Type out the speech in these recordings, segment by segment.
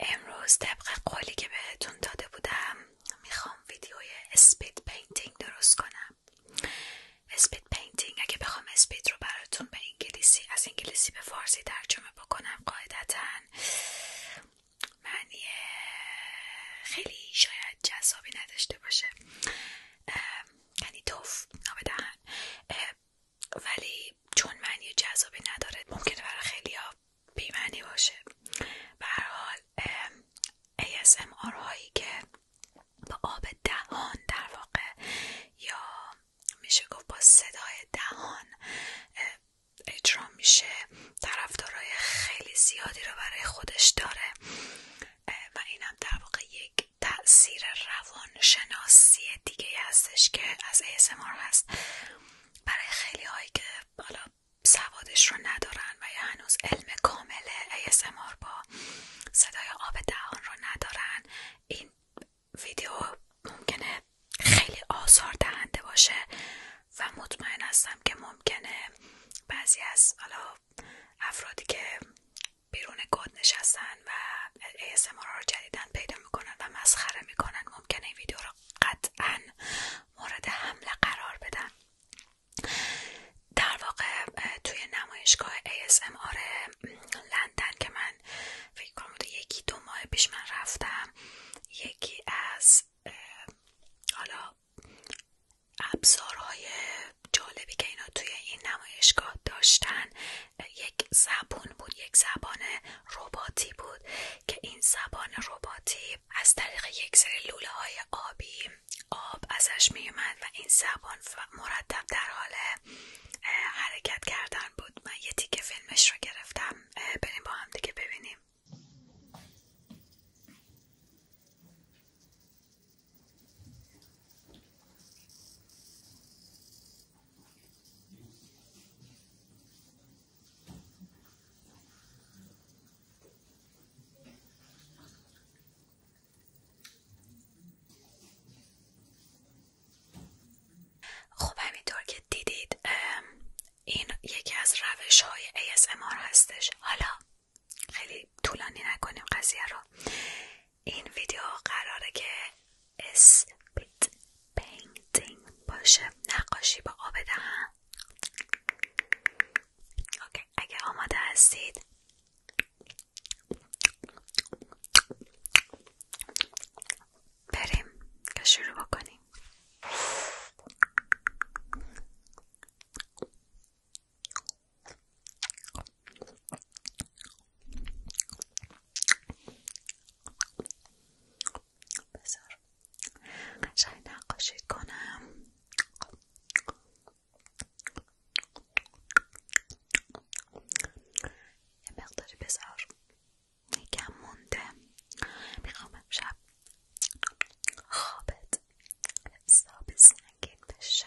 امروز طبق قولی که بهتون داده بودم میخوام ویدیوی اسپید پینتینگ درست کنم اسپید پینتینگ اگه بخوام اسپید رو براتون به انگلیسی از انگلیسی به فارسی ترجمه بکنم قاعدتا معنی خیلی شاید جذابی نداشته باشه یعنی توف نابدهن ولی چون معنی جذابی نداره ممکنه برای خیلی ها بیمعنی باشه به هر حال ASMR هایی که با آب دهان در واقع یا میشه گفت با صدای دهان اجرا میشه طرفدارای خیلی زیادی رو برای خودش داره و اینم در واقع یک تاثیر روان شناسی دیگه هستش که از ASMR هست برای خیلی هایی که حالا سوادش رو ندارن و یا هنوز علم کامل ASMR با صدای آب دهان رو ندارن این ویدیو ممکنه خیلی آزار دهنده باشه و مطمئن هستم که ممکنه بعضی از حالا افرادی که بیرون گود نشستن و ASMR رو جدیدن پیدا میکنن و مسخره میکنن ممکنه این ویدیو رو قطعا مورد حمله قرار بدن در واقع توی نمایشگاه ASMR لندن که من فکر کنم یکی دو ماه پیش من رفتم یکی از حالا ابزارهای جالبی که اینا توی این نمایشگاه داشتن یک زبون بود یک زبان رباتی بود که این زبان رباتی از طریق یک سری لوله های آبی آب ازش می اومد و این زبان مرتب در حال حرکت کردن بود من یه تیکه فیلمش رو گرفتم بریم با هم دیگه ببینیم خب همینطور که دیدید این یکی از روش های ASMR هستش حالا خیلی طولانی نکنیم قضیه رو این ویدیو قراره که اسپیت پینتینگ باشه نقاشی با آب دهن اگه آماده هستید بریم که شروع بکنیم بذار قشنگ نقاشی کنم یه مقداری بذار یکم مونده میخوام امشب خوابت حساب سنگین بشه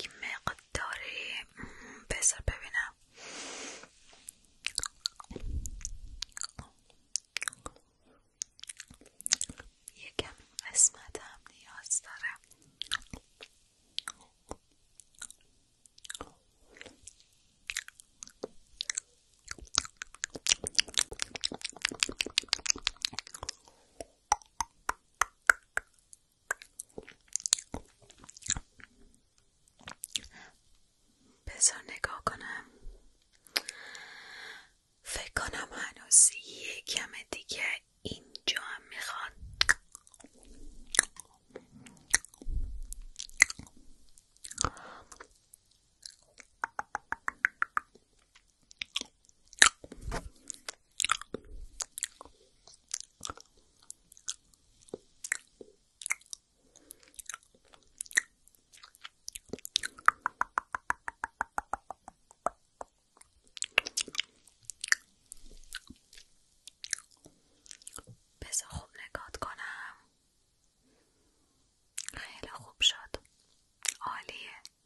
یک مقداری بسر ببینم یکم قسمت هم نیاز دارم بذار نگاه کنم فکر کنم هنوز یکم دیگه اینجا هم میخوان بسه خوب نگات کنم خیلی خوب شد عالیه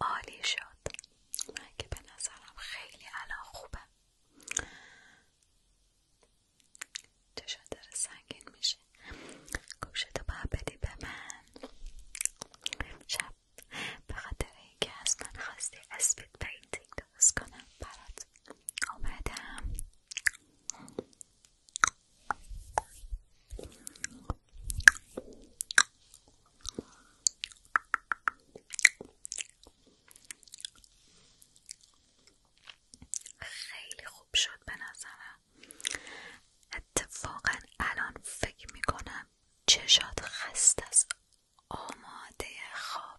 عالی شد من که به نظرم خیلی الان خوبه چشم داره سنگین میشه گوشتو باید بدی به من شب به خاطر که از من خواستی اسپید پینتینگ درست کنم برات اومدم خیلی خوب شد به نظرم اتفاقا الان فکر میکنم چشات خست از آماده خوابه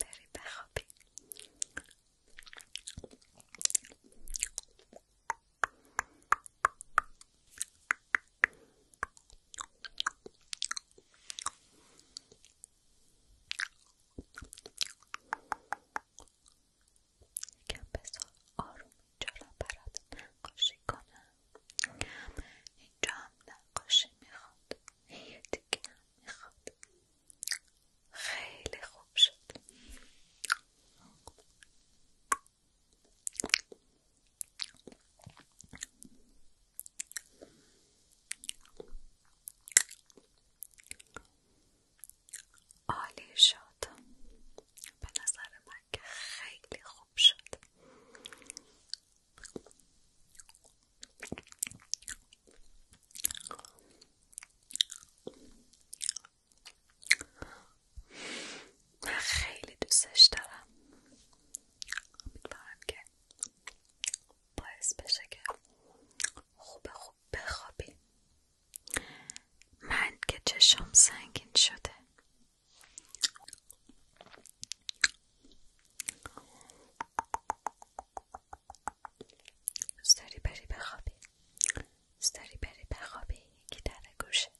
بریم بخوابیم یکم بذار آروم برات نقاشی اینجا هم نقاشی میخواد یه دیگه هم خیلی خوب شد عالی شد به نظر من خیلی خوب شد من خیلی دوستش دارم امیدوارم که باعث بشه که خوب خوب من که چشم سنگین شده دوست داری بری بخوابی دوست داری بری بخوابی یکی در گوشت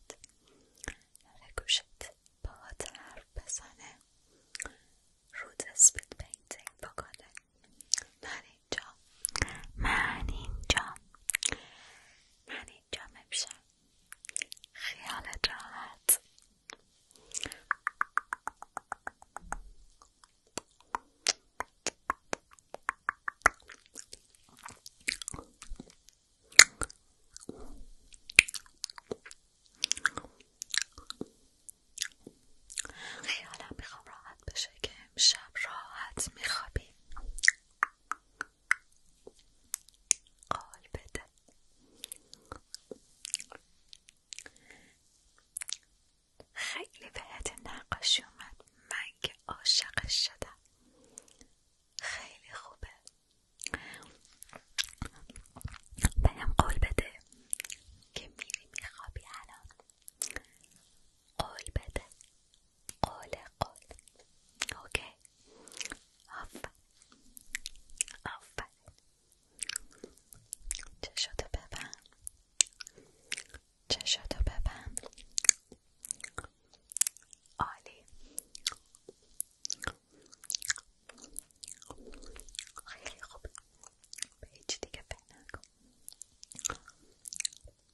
در گوشت باهات رو بزنه رود اسپید پینتینگ بکنه من اینجا من اینجا من اینجا خیالت راحت خیالم میخوام راحت بشه که امشب راحت میخوابی قال بده خیلی بهت نقاشی اومد من که عاشقش شدم خیلی خوبه بهم قول بده که میری میخوابی الان قول بده قال قال اوکی آفر آفر چشاتو ببن چشاتو ببن عالی خیلی خوب به هیچ دیگه پی نکن